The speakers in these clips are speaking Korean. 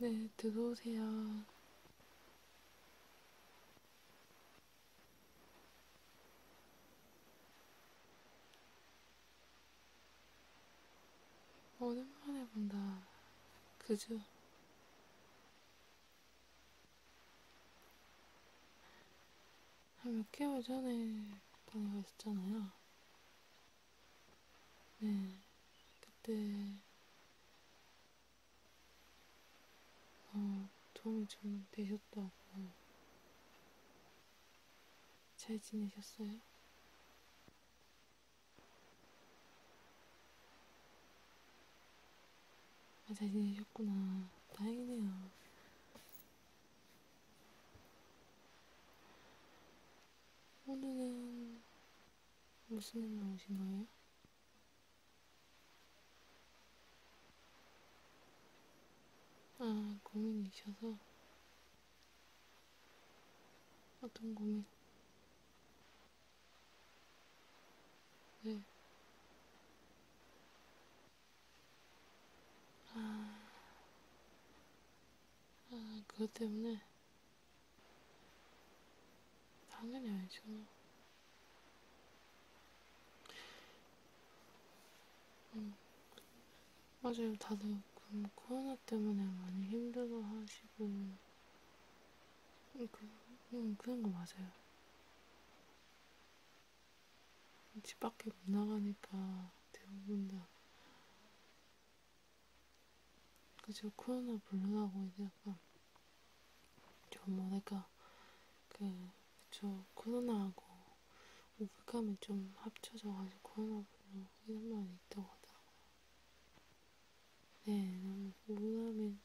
네, 들어오세요. 오랜만에 본다. 그죠? 한몇 개월 전에 다녀왔었잖아요. 네, 그때 어, 도움이 좀 되셨다고. 잘 지내셨어요? 아, 잘 지내셨구나. 다행이네요. 오늘은 무슨 일 나오신 거예요? 아, 고민이셔서. 어떤 고민? 네. 아, 아 그것 때문에 당연히 알죠. 음, 맞아요. 다들 그 코로나 때문에 많이 힘들어 하시고, 음, 그, 음, 그런 거 맞아요. 집 밖에 못 나가니까 대부분 다 그죠 코로나 물러나고 이제 약간 좀 뭐랄까 그 그쵸 코로나하고 오백감이 좀 합쳐져가지고 코로나 블루 이런 말이 있다고 하더라고요. 네, 너무 우울함이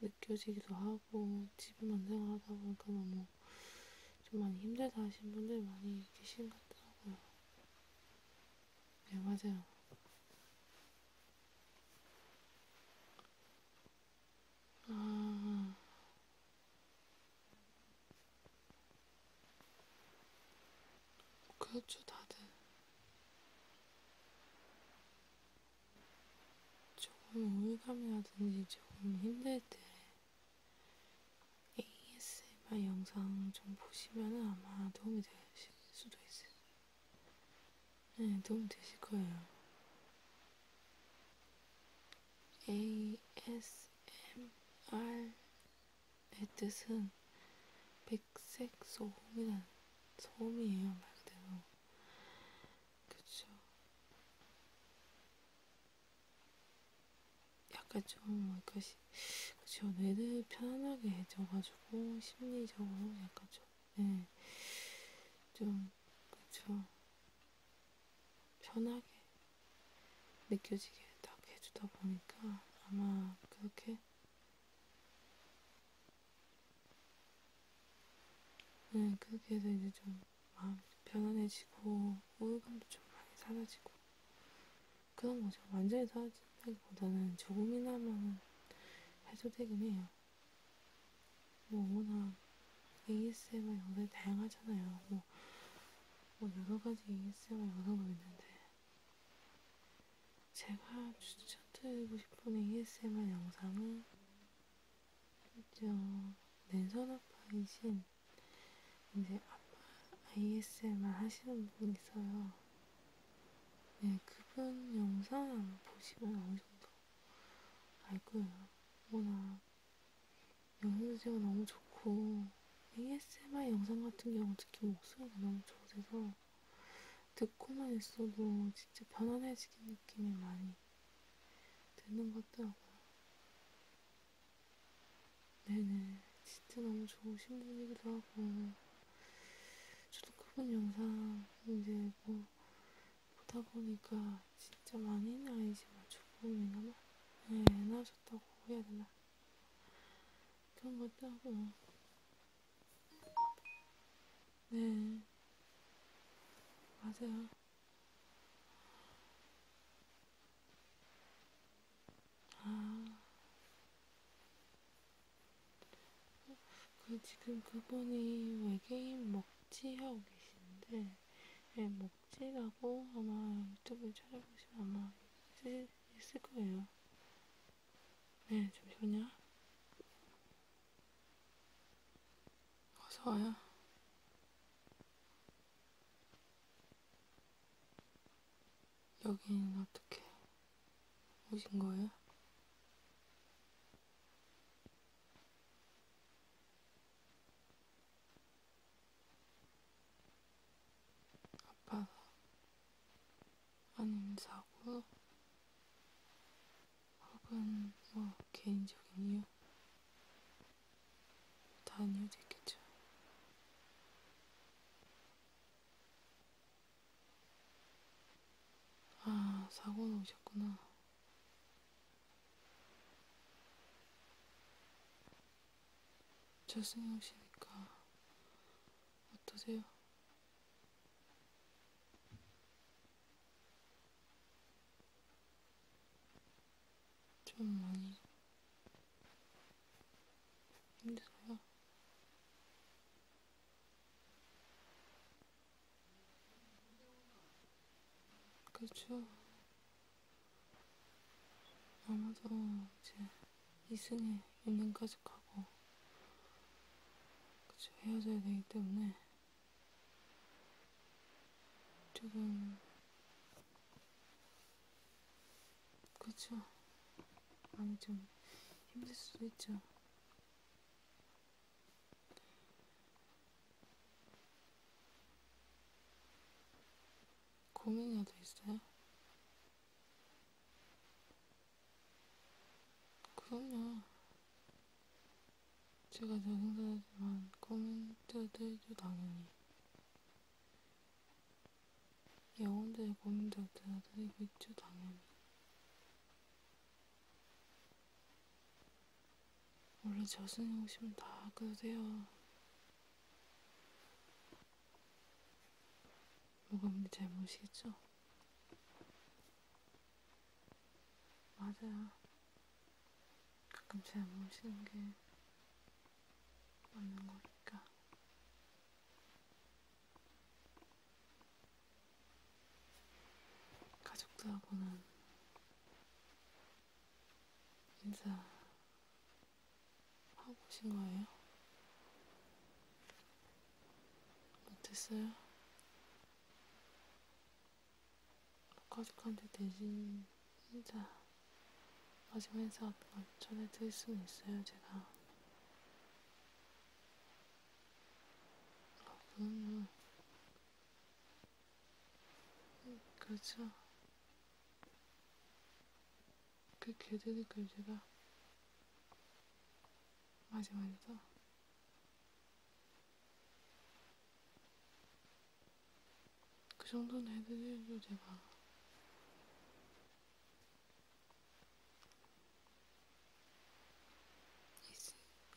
느껴지기도 하고 집에만 생활하다 보니까 너무 좀 많이 힘들다 하신 분들 많이 계신 것 같더라고요. 네, 맞아요. 아, 그렇죠, 다들. 조금 우울감이라든지 조금 힘들 때 ASMR 영상 좀 보시면은 아마 도움이 되실 수도 있어요. 네, 도움이 되실 거예요. ASMR의 뜻은 백색 소음이란 소음이에요, 말 그대로. 그쵸. 약간 좀 뭔가 시, 그쵸 뇌를 편안하게 해줘가지고 심리적으로 약간 좀, 네, 좀 그쵸 편하게 느껴지게 딱 해주다 보니까 아마 그렇게 네 그렇게 해서 이제 좀 마음이 편안해지고 우울감도 좀 많이 사라지고 그런 거죠. 완전히 사라진다기보다는 조금이나마 해소되긴 해요. 뭐 워낙 ASMR 영상이 다양하잖아요. 뭐, 뭐 여러 가지 ASMR 영상도 있는데 제가 추천드리고 싶은 ASMR 영상은 먼저 랜선 아빠이신 이제 아빠 ASMR 하시는 분이 있어요. 네, 그분 영상 보시면 어느 정도 알 거예요. 워낙 영상제가 너무 좋고 ASMR 영상 같은 경우 특히 목소리가 너무 좋아서 듣고만 있어도 진짜 편안해지는 느낌이 많이 드는 것 같더라고요. 네네, 진짜 너무 좋으신 분이기도 하고, 저도 그분 영상 이제 뭐 보다 보니까 진짜 많이는 아니지만 조금이나마 네, 나으셨다고 해야 되나? 그런 것도 하고, 네, 맞아요. 아. 그 지금 그분이 외계인 먹지 하고 계시는데 네, 예, 먹지라고 아마 유튜브에 찾아보시면 아마 있, 있을 거예요. 네, 잠시만요. 어서 와요. 여긴 어떻게 오신 거예요? 아파서 아니면 사고 혹은 뭐 개인적인 이유? 다한 이유도 있겠죠. 아, 사고는 오셨구나. 저승이 오시니까 어떠세요? 좀 많이 힘들어요. 그쵸. 그렇죠. 아마도 이제 이승에 연년까지 가고, 그쵸. 헤어져야 되기 때문에 조금 그렇죠. 많이 좀 힘들 수도 있죠. 고민이 더 있어요? 그럼요. 제가 적응사지만 고민자들도 당연히 영혼들의 고민들도 나드리고 있죠, 당연히. 원래 저승에 오시면 다 그러세요. 뭐가 문제 잘 모르시겠죠? 맞아요. 가끔 잘못 쉬는 게 맞는 거니까. 가족들하고는 인사하고 오신 거예요? 못했어요? 가족한테 대신 진짜 마지막 인사 같은 뭐 걸 전해드릴 수는 있어요, 제가. 아, 그럼요. 음, 그렇죠. 그렇게 해드니까 제가 마지막 인사 그 정도는 해드려요, 제가.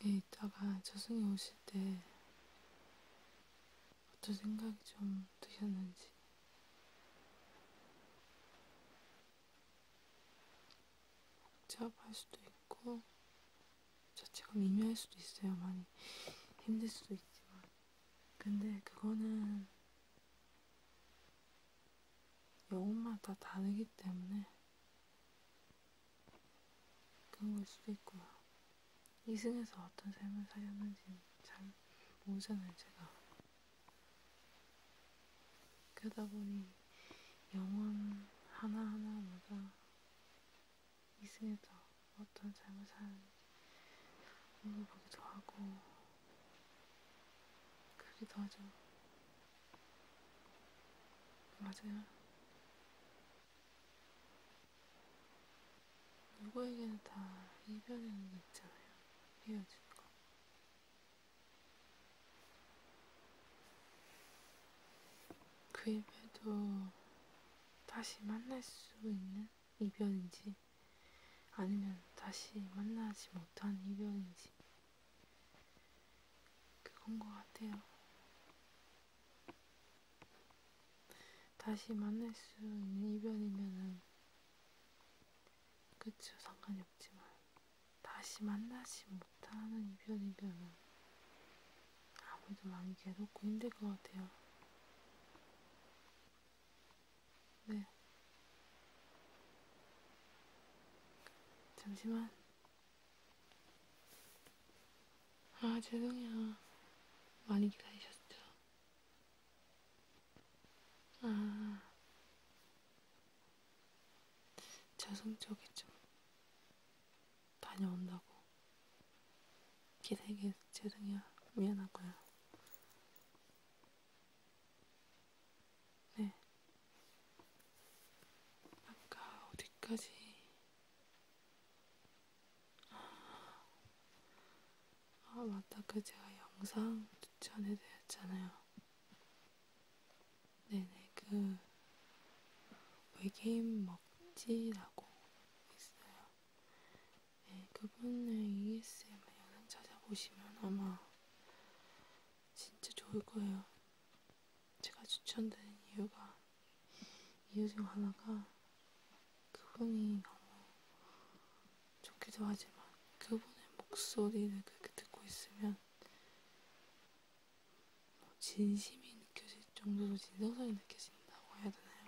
이따가 저승이 오실 때 어떤 생각이 좀 드셨는지. 복잡할 수도 있고, 자체가 미묘할 수도 있어요. 많이 힘들 수도 있지만. 근데 그거는 영혼마다 다르기 때문에 그런 걸 수도 있고요. 이승에서 어떤 삶을 살렸는지는 잘 모르잖아요, 제가. 그러다 보니 영혼 하나하나마다 있으니까 어떤 잘못한 걸 보기도 하고 그러기도 하죠. 맞아요. 누구에게는 다 이별이라는 게 있잖아요. 헤어진 거. 그 이별도 다시 만날 수 있는 이별인지 아니면 다시 만나지 못한 이별인지 그건 것 같아요. 다시 만날 수 있는 이별이면은 그쵸 상관이 없지만 다시 만나지 못하는 이별이면은 아무래도 많이 괴롭고 힘들 것 같아요. 네. 잠시만. 아, 죄송해요. 많이 기다리셨죠? 아. 저 성적이 좀 다녀온다고. 기대게 죄송해요. 미안하고요. 네. 아까 어디까지? 아, 아 맞다. 그 제가 영상 추천해드렸잖아요. 네네. 그 외계인 먹지라고 있어요. 네, 그분의 e ESMR 찾아보시면 아마 진짜 좋을 거예요. 제가 추천드린 이유가 이유 중 하나가 그분이 너무 좋기도 하지만 그분의 목소리를 그렇게 듣고 있으면 뭐 진심이 느껴질 정도로 진정성이 느껴진다고 해야 되나요?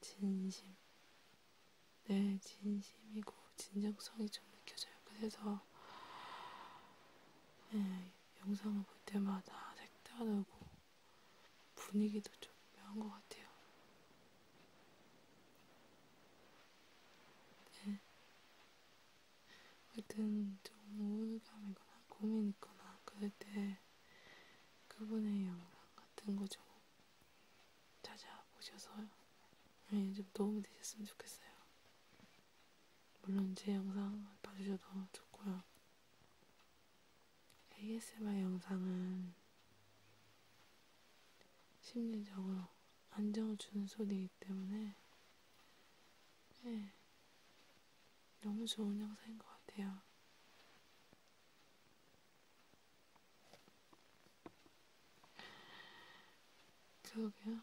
진심, 내 네, 진심이고 진정성이 좀 느껴져요. 그래서 네, 영상을 볼 때마다 색다르고 분위기도 좀 묘한 것 같아요. 네. 하여튼 좀 우울감이거나 고민이거나 그럴 때 그분의 영상 같은 거 좀 찾아보셔서 네, 좀 도움이 되셨으면 좋겠어요. 물론 제 영상 봐주셔도 좋고요. ASMR 영상은 심리적으로 안정을 주는 소리이기 때문에 네, 너무 좋은 영상인 것 같아요. 그러게요.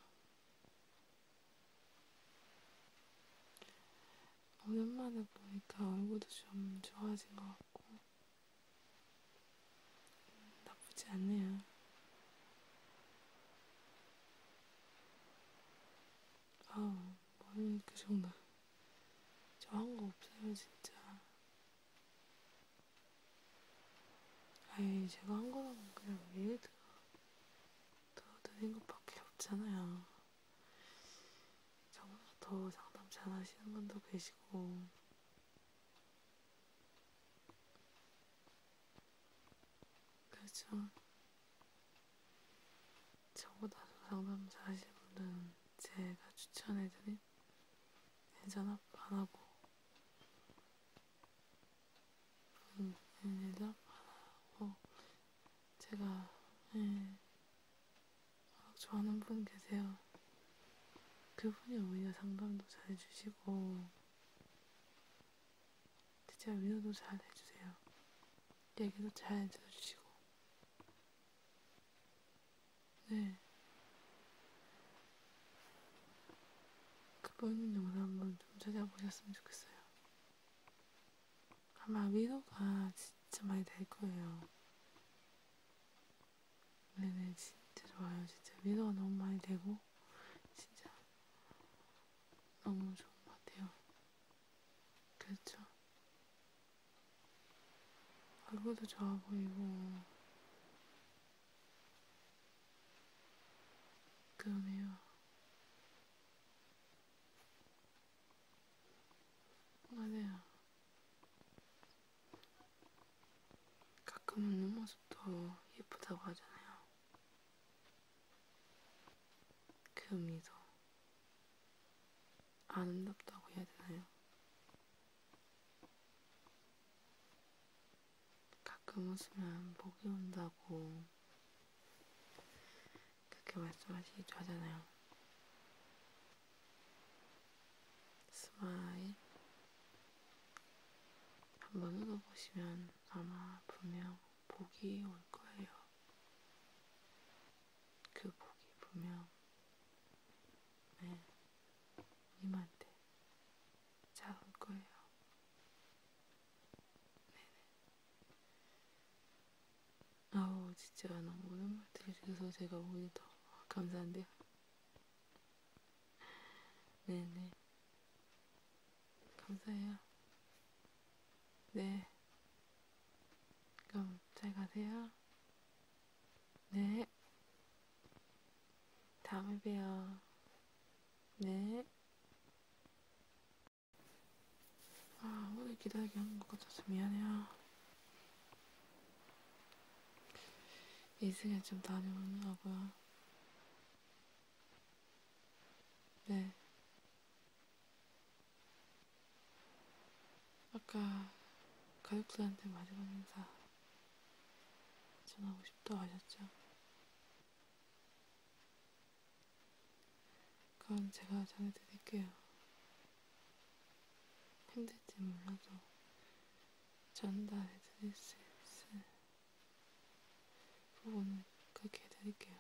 오랜만에 보니까 얼굴도 좀 좋아진 것 같고 음, 나쁘지 않네요. 아우, 머리는 그 정도. 저한거 없어요, 진짜. 아이, 제가 한 거라면 그냥 위에 들어, 들어드린 것밖에 없잖아요. 정말 더 상담 잘 하시는 분도 계시고, 그렇죠. 저보다 상담사 하신 분은 제가 추천해드린 예전압 안하고 예전압 안하고 제가 예, 좋아하는 분 계세요. 그분이 오히려 상담도 잘 해주시고 진짜 위로도 잘 해주세요. 얘기도 잘 들어주시고 네. 그분 영상 한번 좀 찾아보셨으면 좋겠어요. 아마 위로가 진짜 많이 될 거예요. 네네, 진짜 좋아요. 진짜 위로가 너무 많이 되고, 진짜 너무 좋은 것 같아요. 그렇죠? 얼굴도 좋아 보이고 그러네요. 맞아요. 가끔은 눈모습도 예쁘다고 하잖아요. 그 미소. 아름답다고 해야 되나요? 가끔 웃으면 복이 온다고 그렇게 말씀하시기도 하잖아요. 스마일 한번 읽어보시면 아마 분명 복이 올 거예요. 그 복이 분명 네, 님한테 잘올 거예요. 네네. 아우 진짜 너무 오랜만에 들으셔서 제가 오히려 더 감사한데요. 네네. 감사해요. 네. 그럼 잘 가세요. 네. 다음에 봬요. 네. 아, 오늘 기다리게 하는 것 같아서 미안해요. 이승에 좀 다녀오느라고요. 네. 아까 가족들한테 마지막 인사 전하고 싶다 하셨죠? 그럼 제가 전해드릴게요. 힘들지 몰라도 전달해드릴 수 있을 부분을 그렇게 해드릴게요.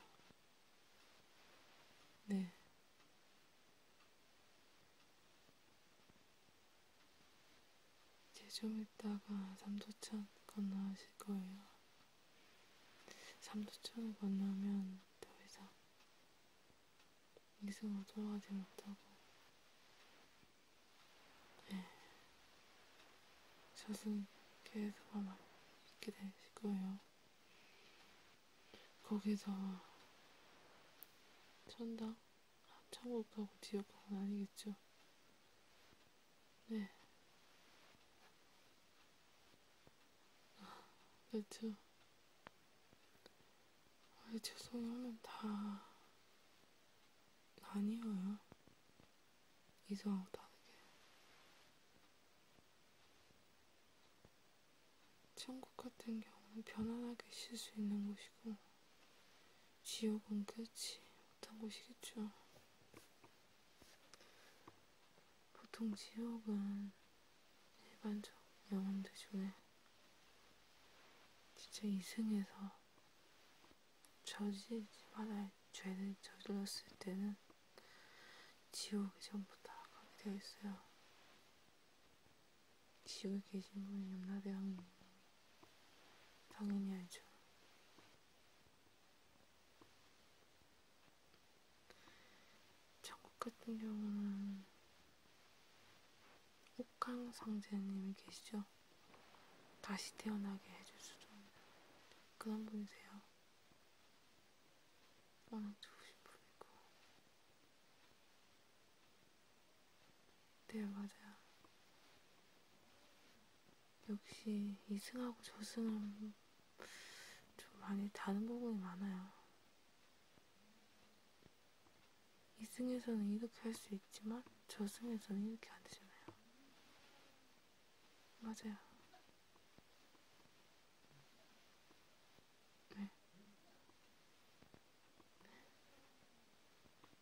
네. 이제 좀 있다가 삼도천 건너실 거예요. 삼도천을 건너면 더 이상 이승으로 돌아가지 못하고, 네. 저승 계속 아마 있게 되실 거예요. 거기서 천당? 아, 천국하고 지옥하고는 아니겠죠. 네. 그렇죠. 아, 그렇죠. 아이, 죄송해 하면 다 아니에요. 이상하고 다르게. 천국 같은 경우는 편안하게 쉴 수 있는 곳이고, 지옥은 그렇지 못한 곳이겠죠. 보통 지옥은 일반적 영혼들 중에 진짜 이승에서 저지지 말할 죄를 저질렀을 때는 지옥이 전부 다 가게 되어 있어요. 지옥에 계신 분이 염라대 왕님. 당연히 알죠. 천국 같은 경우는 옥황 상제님이 계시죠. 다시 태어나게 해줄 수도 있는 그런 분이세요. 워낙 좋으신 분이고 네, 맞아요. 역시 이승하고 저승은 좀 많이 다른 부분이 많아요. 이승에서는 이렇게 할 수 있지만 저승에서는 이렇게 안 되잖아요. 맞아요.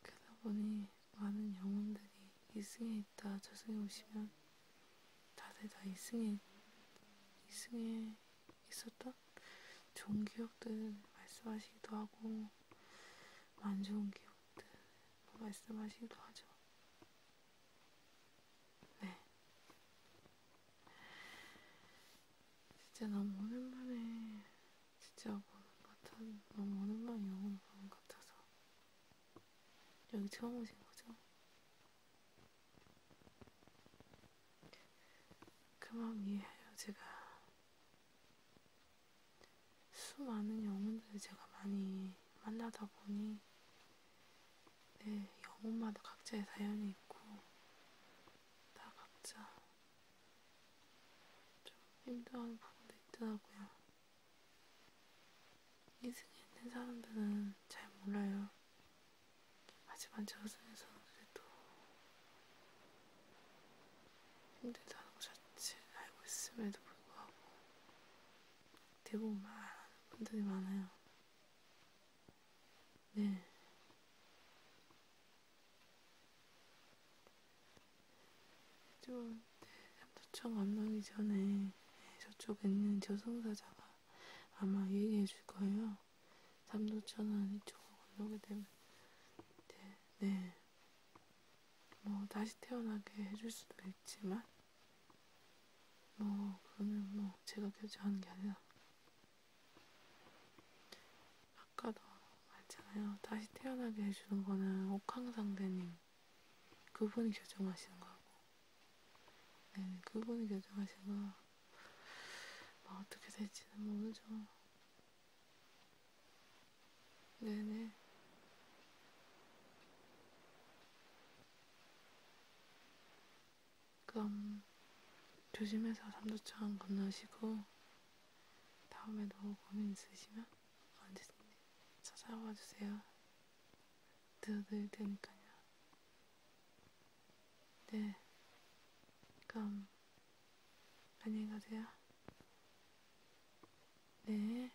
그러다 보니 많은 영혼들이 이승에 있다 저승에 오시면 다들 다 이승에 이승에 있었던 좋은 기억들 말씀하시기도 하고 안 좋은 기억들 말씀하시기도 하죠. 네, 진짜 너무 오랜만에 진짜 보는 같아 너무 오랜만에 영화를 보는 것 같아서 여기 처음 오신 거죠? 그 마음 이해해요 제가 수많은 영혼들을 제가 많이 만나다 보니 내 네, 영혼마다 각자의 사연이 있고 다 각자 좀 힘들어하는 부분도 있더라고요. 이승에 있는 사람들은 잘 몰라요. 하지만 저승에서는 그래도 힘들다는 것 자체를 알고 있음에도 불구하고 대부분 말하는 분들이 많아요. 네. 좀 도청 안 나기 전에 저쪽에 있는 저승사자가 아마 얘기해 줄 거예요. 삼도천은 이쪽으로 건너게 되면 네, 네. 뭐 다시 태어나게 해줄 수도 있지만 뭐 그러면 뭐 제가 결정하는 게 아니라 아까도 말했잖아요. 다시 태어나게 해주는 거는 옥황상대님 그분이 결정하시는 거고, 네 그분이 결정하시는 거. 뭐 어떻게 될지는 모르죠. 네네. 그럼 조심해서 삼도천 건너시고 다음에도 고민 있으시면 언제든지 찾아와 주세요. 들어드릴 테니까요. 네. 그럼 안녕히 가세요. 네.